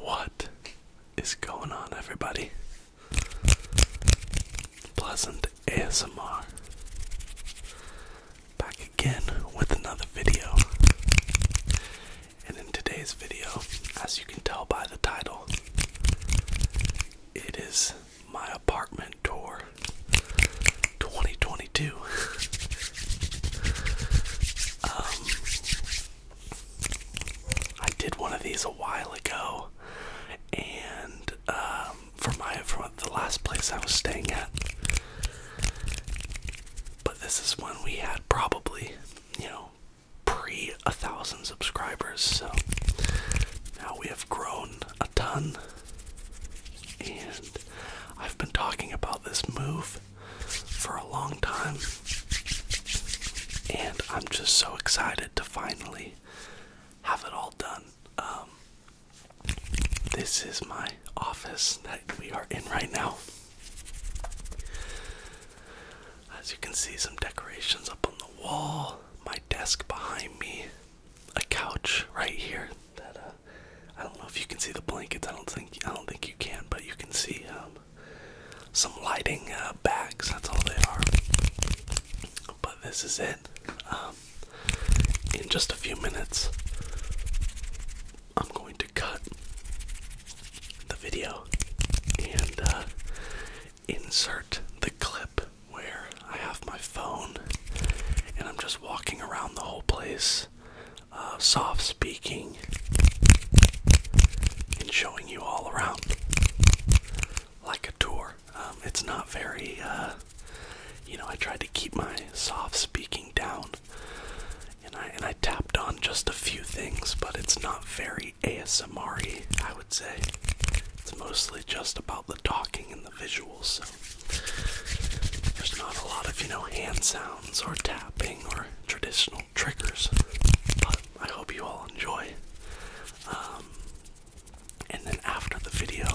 What is going on, everybody? Pleasant ASMR back again with another video. And in today's video, as you can tell by the title, it is my apartment tour 2022. Um, I did one of these a while ago, and um, for my for the last place I was staying at. But this is when we had probably, you know, pre a thousand subscribers. So now we have grown a ton, and I've been talking about this move for a long time, and I'm just so excited to finally have it all done. Um, this is my office that we are in right now. As you can see, some decorations up on the wall my desk behind me, a couch right here. That uh, I don't know if you can see the blankets. I don't think I don't think you can, but you can see um, some lighting uh, bags. That's all they are. But this is it. Um, in just a few minutes, I'm going to cut the video, and uh, insert the clip where I have my phone and I'm just walking around the whole place, uh, soft speaking and showing you all around like a tour. Um, it's not very, uh, you know, I tried to keep my soft speaking down and I, and I tapped on just a few things, but it's not very ASMR I would say. It's mostly just about the talking and the visuals, so there's not a lot of, you know, hand sounds or tapping or traditional triggers. But I hope you all enjoy. Um, and then after the video,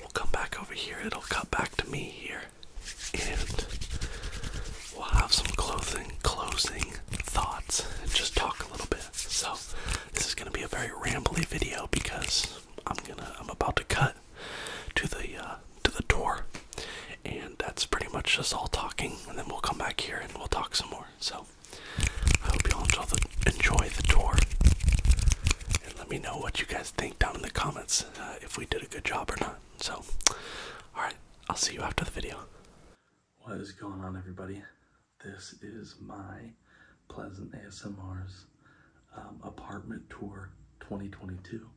we'll come back over here, it'll cut back to me here, and we'll have some clothing, closing thoughts and just talk a little bit so this is gonna be a very rambly video because I'm gonna I'm about to cut to the uh, to the door, and that's pretty much just all talking. And then we'll come back here and we'll talk some more. So I hope you all enjoy the enjoy the tour, and let me know what you guys think down in the comments uh, if we did a good job or not. So all right, I'll see you after the video. What is going on, everybody? This is my Pleasant ASMR's um, apartment tour 2022.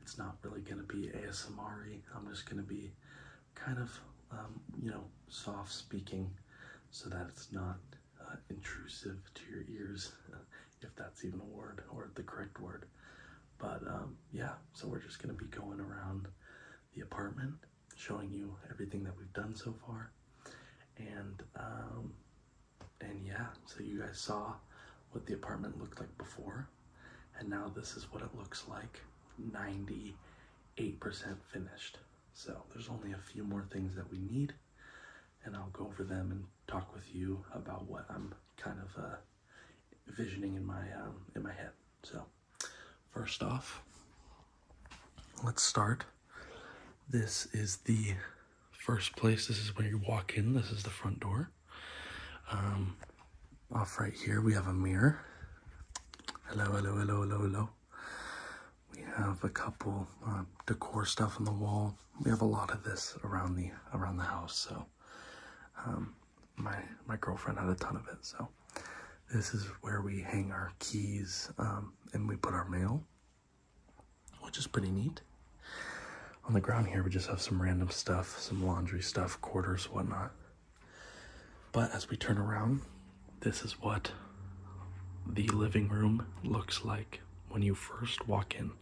It's not really going to be ASMR i I'm just going to be kind of, um, you know, soft speaking so that it's not uh, intrusive to your ears, if that's even a word or the correct word. But um, yeah, so we're just going to be going around the apartment showing you everything that we've done so far. And um, and yeah, so you guys saw what the apartment looked like before, and now this is what it looks like 98% finished. So there's only a few more things that we need, and I'll go over them and talk with you about what I'm kind of envisioning uh, in my um, in my head. So. First off, let's start. This is the first place. This is when you walk in. This is the front door. Um, off right here, we have a mirror. Hello, hello, hello, hello, hello. We have a couple uh, decor stuff on the wall. We have a lot of this around the around the house, so um, my my girlfriend had a ton of it, so this is where we hang our keys um, and we put our mail, which is pretty neat. On the ground here, we just have some random stuff, some laundry stuff, quarters, whatnot. But as we turn around, this is what the living room looks like when you first walk in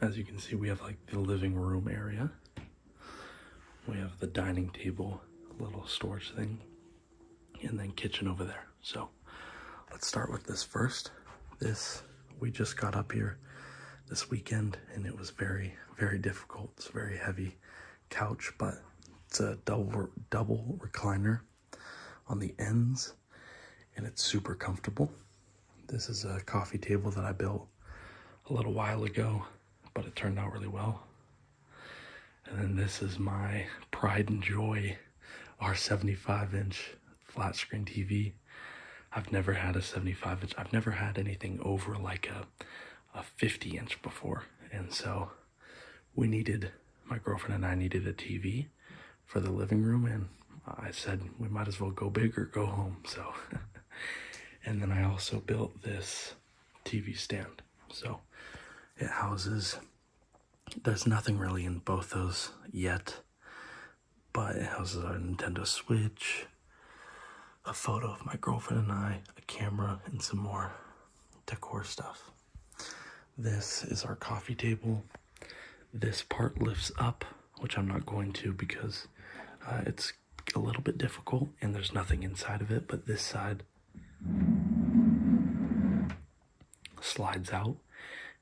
as you can see, we have like the living room area. We have the dining table, little storage thing, and then kitchen over there. So let's start with this first. This, we just got up here this weekend and it was very, very difficult. It's a very heavy couch, but it's a double, double recliner on the ends and it's super comfortable. This is a coffee table that I built a little while ago, but it turned out really well. And then this is my pride and joy our 75 inch flat screen TV. I've never had a 75 inch. I've never had anything over like a, a 50 inch before. And so we needed, my girlfriend and I needed a TV for the living room and I said we might as well go big or go home. So, and then I also built this TV stand. So it houses, there's nothing really in both those yet, but it houses our Nintendo Switch, a photo of my girlfriend and I, a camera, and some more decor stuff. This is our coffee table. This part lifts up which I'm not going to because uh, it's a little bit difficult and there's nothing inside of it, but this side slides out,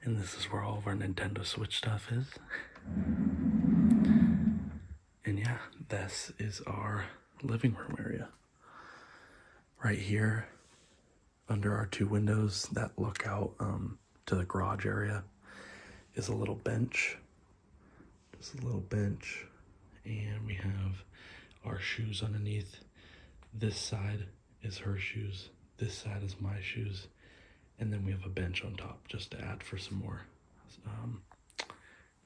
and this is where all of our Nintendo Switch stuff is. And yeah, this is our living room area. Right here, under our two windows that look out um, to the garage area is a little bench. Just a little bench. And we have our shoes underneath. This side is her shoes. This side is my shoes. And then we have a bench on top just to add for some more, um,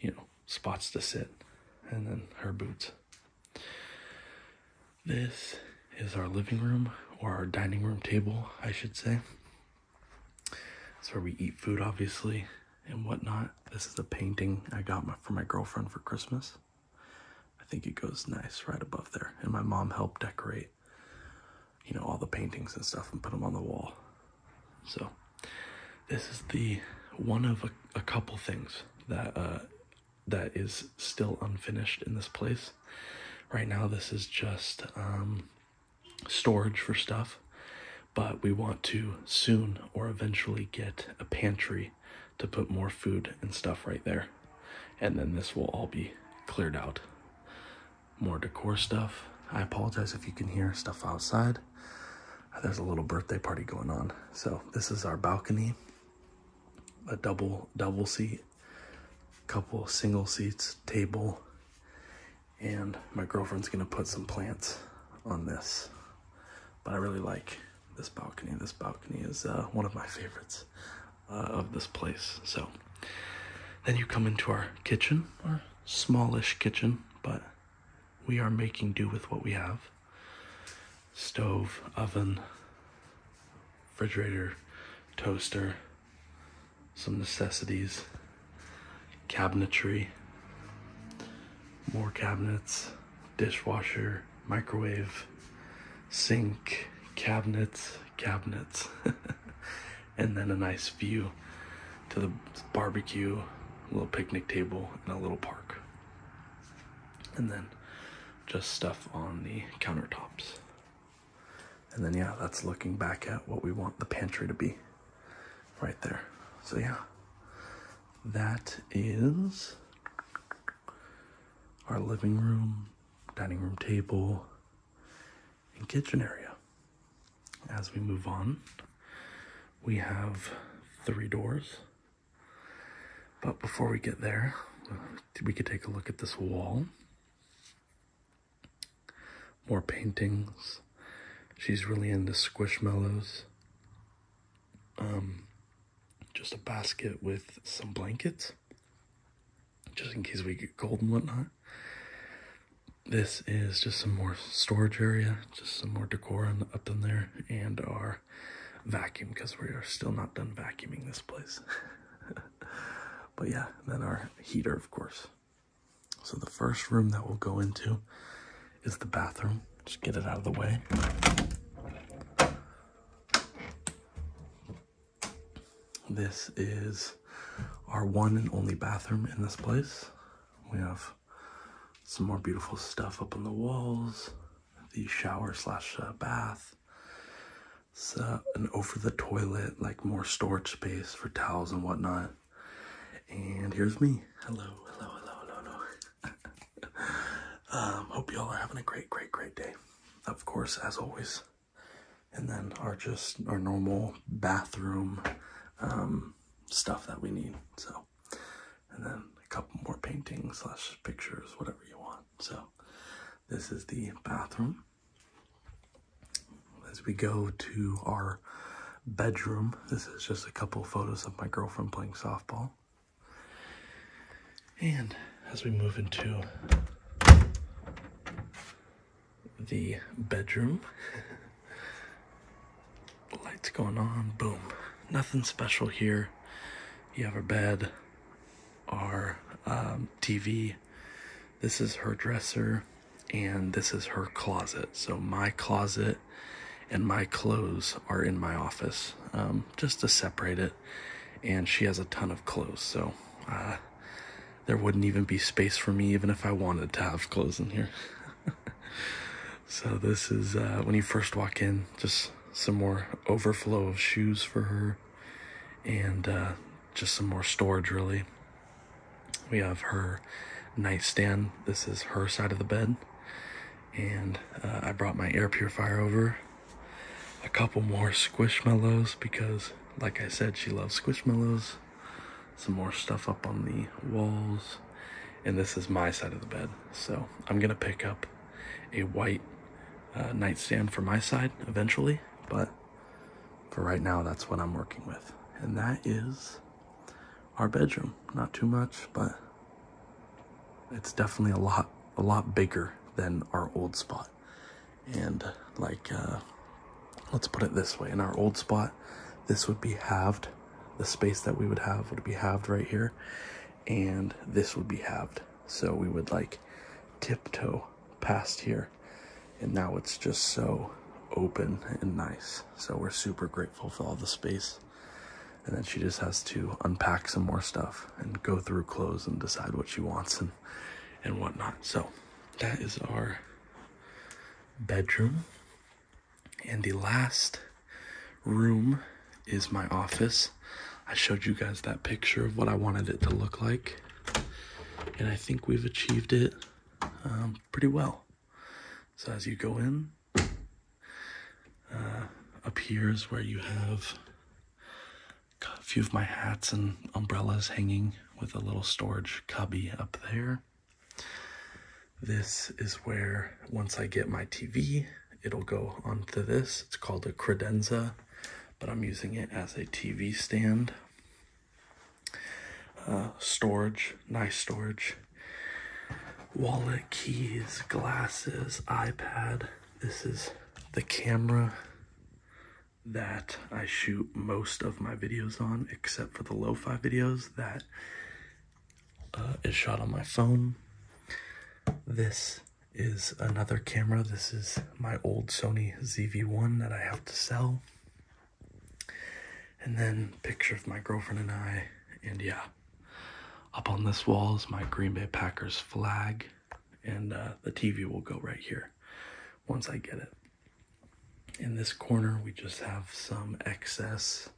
you know, spots to sit. And then her boots. This is our living room or our dining room table, I should say. That's where we eat food, obviously, and whatnot. This is a painting I got my, for my girlfriend for Christmas. I think it goes nice right above there. And my mom helped decorate, you know, all the paintings and stuff and put them on the wall. So this is the one of a, a couple things that uh, that is still unfinished in this place. Right now, this is just um, storage for stuff, but we want to soon or eventually get a pantry to put more food and stuff right there. And then this will all be cleared out. More decor stuff. I apologize if you can hear stuff outside. There's a little birthday party going on. So this is our balcony, a double double seat couple single seats, table, and my girlfriend's gonna put some plants on this. But I really like this balcony. This balcony is uh, one of my favorites uh, of this place. So then you come into our kitchen, our smallish kitchen, but we are making do with what we have. Stove, oven, refrigerator, toaster, some necessities, cabinetry, more cabinets, dishwasher, microwave, sink, cabinets, cabinets, and then a nice view to the barbecue, little picnic table, and a little park. And then just stuff on the countertops. And then, yeah, that's looking back at what we want the pantry to be right there. So, yeah, that is our living room, dining room table, and kitchen area. As we move on, we have three doors. But before we get there, we could take a look at this wall. More paintings. She's really into squishmallows. Um, just a basket with some blankets, just in case we get cold and whatnot. This is just some more storage area, just some more decor on, up in there, and our vacuum because we are still not done vacuuming this place. but yeah, then our heater, of course. So the first room that we'll go into is the bathroom. Just get it out of the way. This is our one and only bathroom in this place. We have some more beautiful stuff up on the walls, the shower slash uh, bath, so, an over the toilet, like more storage space for towels and whatnot. And here's me. Hello, hello, hello, hello, um, hope y'all are having a great, great, great day. Of course, as always. And then our just our normal bathroom um, stuff that we need. So, and then a couple more paintings slash pictures, whatever you want. So, this is the bathroom. As we go to our bedroom, this is just a couple photos of my girlfriend playing softball. And as we move into the bedroom, lights going on, boom. Nothing special here. You have a bed, our um, TV. This is her dresser, and this is her closet. So my closet and my clothes are in my office, um, just to separate it. And she has a ton of clothes, so uh, there wouldn't even be space for me, even if I wanted to have clothes in here. so this is uh, when you first walk in, just some more overflow of shoes for her and uh, just some more storage, really. We have her nightstand. This is her side of the bed. And uh, I brought my air purifier over. A couple more squish mellows because, like I said, she loves squish mellows. Some more stuff up on the walls. And this is my side of the bed. So I'm going to pick up a white uh, nightstand for my side eventually. But for right now, that's what I'm working with. And that is our bedroom. Not too much, but it's definitely a lot, a lot bigger than our old spot. And like, uh, let's put it this way. In our old spot, this would be halved. The space that we would have would be halved right here. And this would be halved. So we would like tiptoe past here. And now it's just so open and nice. So we're super grateful for all the space. And then she just has to unpack some more stuff and go through clothes and decide what she wants and, and whatnot. So that is our bedroom. And the last room is my office. I showed you guys that picture of what I wanted it to look like. And I think we've achieved it um, pretty well. So as you go in, uh, up here is where you have a few of my hats and umbrellas hanging with a little storage cubby up there. This is where, once I get my TV, it'll go onto this. It's called a credenza but I'm using it as a TV stand. Uh, storage, nice storage. Wallet, keys, glasses, iPad. This is the camera that I shoot most of my videos on, except for the lo-fi videos that uh, is shot on my phone. This is another camera. This is my old Sony ZV1 that I have to sell. And then picture of my girlfriend and I. And yeah, up on this wall is my Green Bay Packers flag. And uh, the TV will go right here once I get it. In this corner, we just have some excess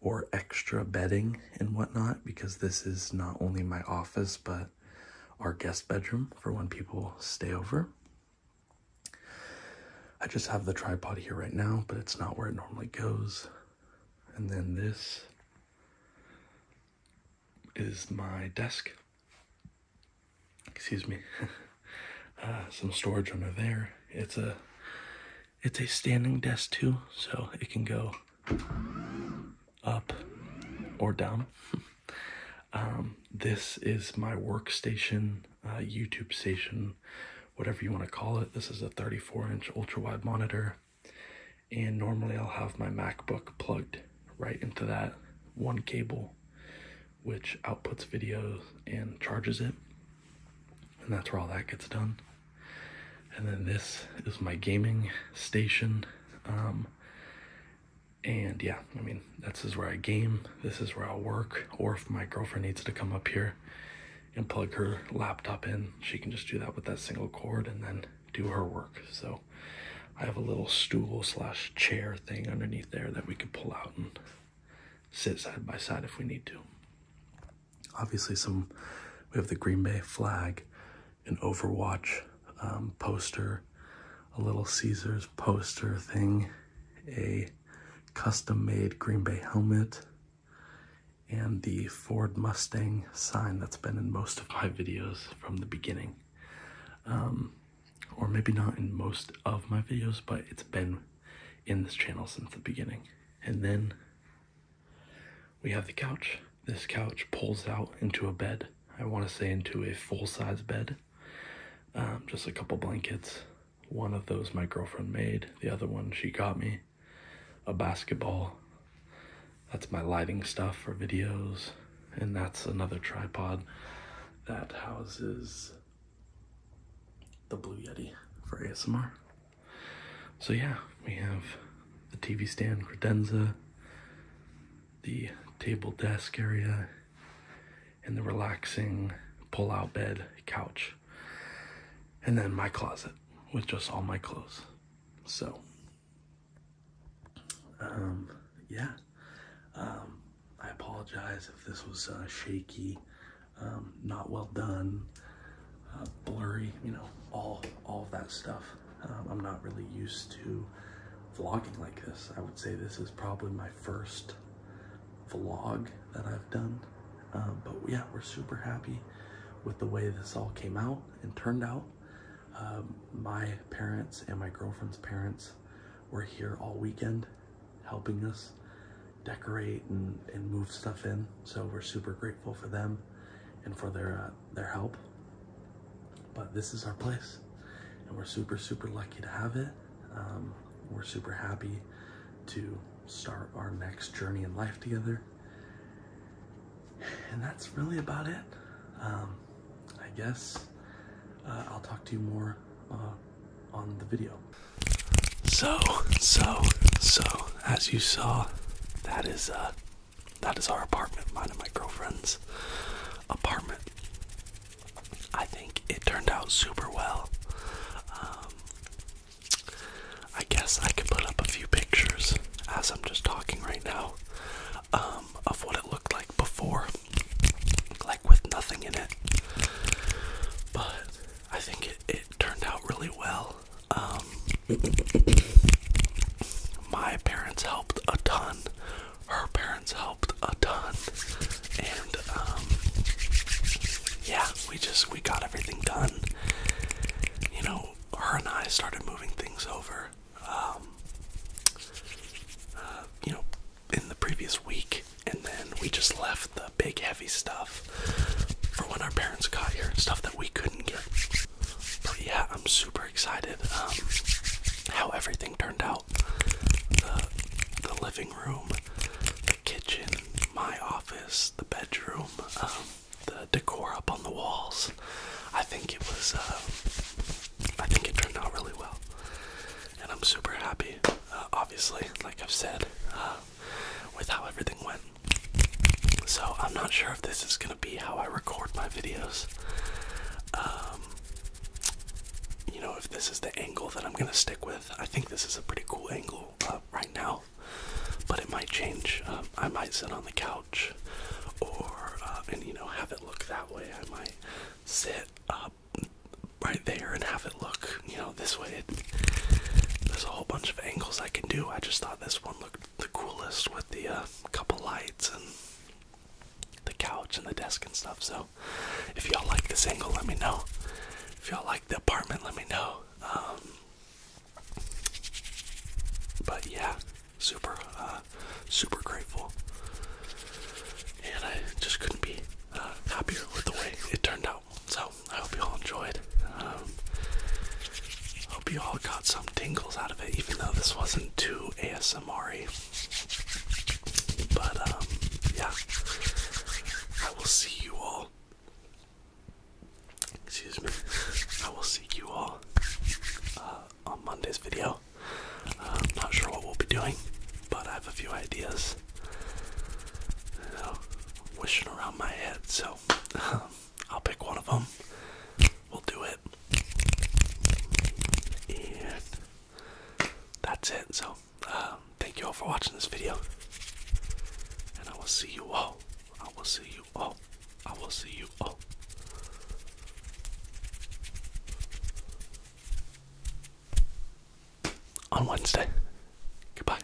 or extra bedding and whatnot because this is not only my office but our guest bedroom for when people stay over. I just have the tripod here right now, but it's not where it normally goes. And then this is my desk. Excuse me. Uh, some storage under there. It's a it's a standing desk too, so it can go up or down. um, this is my workstation, uh, YouTube station, whatever you want to call it. This is a 34 inch ultra wide monitor. And normally I'll have my MacBook plugged right into that one cable, which outputs video and charges it. And that's where all that gets done. And then this is my gaming station. Um, and yeah, I mean, this is where I game. This is where I'll work. Or if my girlfriend needs to come up here and plug her laptop in, she can just do that with that single cord and then do her work. So I have a little stool slash chair thing underneath there that we could pull out and sit side by side if we need to. Obviously some, we have the Green Bay flag an Overwatch um, poster, a Little Caesars poster thing, a custom made Green Bay helmet, and the Ford Mustang sign that's been in most of my videos from the beginning. Um, or maybe not in most of my videos, but it's been in this channel since the beginning. And then we have the couch. This couch pulls out into a bed. I want to say into a full size bed. Um, just a couple blankets. One of those my girlfriend made, the other one she got me. A basketball. That's my lighting stuff for videos. And that's another tripod that houses the Blue Yeti for ASMR. So yeah, we have the TV stand, credenza, the table desk area, and the relaxing pull-out bed couch. And then my closet with just all my clothes. So, um, yeah. Um, I apologize if this was uh, shaky, um, not well done uh, blurry, you know, all, all of that stuff. Um, I'm not really used to vlogging like this. I would say this is probably my first vlog that I've done. Um, but yeah, we're super happy with the way this all came out and turned out. Um, my parents and my girlfriend's parents were here all weekend helping us decorate and, and move stuff in. So we're super grateful for them and for their uh, their help. But this is our place, and we're super, super lucky to have it. Um, we're super happy to start our next journey in life together. And that's really about it. Um, I guess uh, I'll talk to you more uh, on the video. So, so, so, as you saw, that is a. Uh, that is our apartment, mine and my girlfriend's apartment. I think it turned out super well. Um, I guess I could put up a few pictures as I'm just talking right now um, of what it looked like before, like with nothing in it. But I think it turned out really well. Um, my parents helped a ton. Her parents helped a ton, and um, yeah, we just we got everything done. You know, her and I started moving things over. Um, uh, you know, in the previous week, and then we just left the big heavy stuff for when our parents got here, and stuff that we couldn't get. But yeah, I'm super excited um, how everything turned out. The, the living room, the kitchen, my office, the bedroom, um, the decor up on the walls. I think it was, uh, I think it turned out really well. And I'm super happy, uh, obviously, like I've said, uh, with how everything went. So I'm not sure if this is gonna be how I record my videos. Um, you know, if this is the angle that I'm gonna stick with. I think this is a pretty cool angle uh, right now, but it might change. Um, I might sit on the couch, or uh, and you know have it look that way. I might sit up right there and have it look you know this way. there's a whole bunch of angles I can do. I just thought this one looked the coolest with the uh, couple lights and the couch and the desk and stuff. So, if y'all like this angle, let me know. If y'all like the apartment, let me know. Um, but yeah, super, uh, super grateful, and I just couldn't be uh, happier with the way it turned out. So I hope you all enjoyed. Um, hope you all got some tingles out of it, even though this wasn't too asmr But um, yeah, I will see you all. Excuse me. I will see you all uh, on Monday's video. Uh, I'm not sure what we'll be doing, but I have a few ideas. You know, wishing around my head, so. Um, I'll pick one of them. We'll do it. And that's it. So, uh, thank you all for watching this video. And I will see you all. I will see you all. I will see you all. On Wednesday. Goodbye.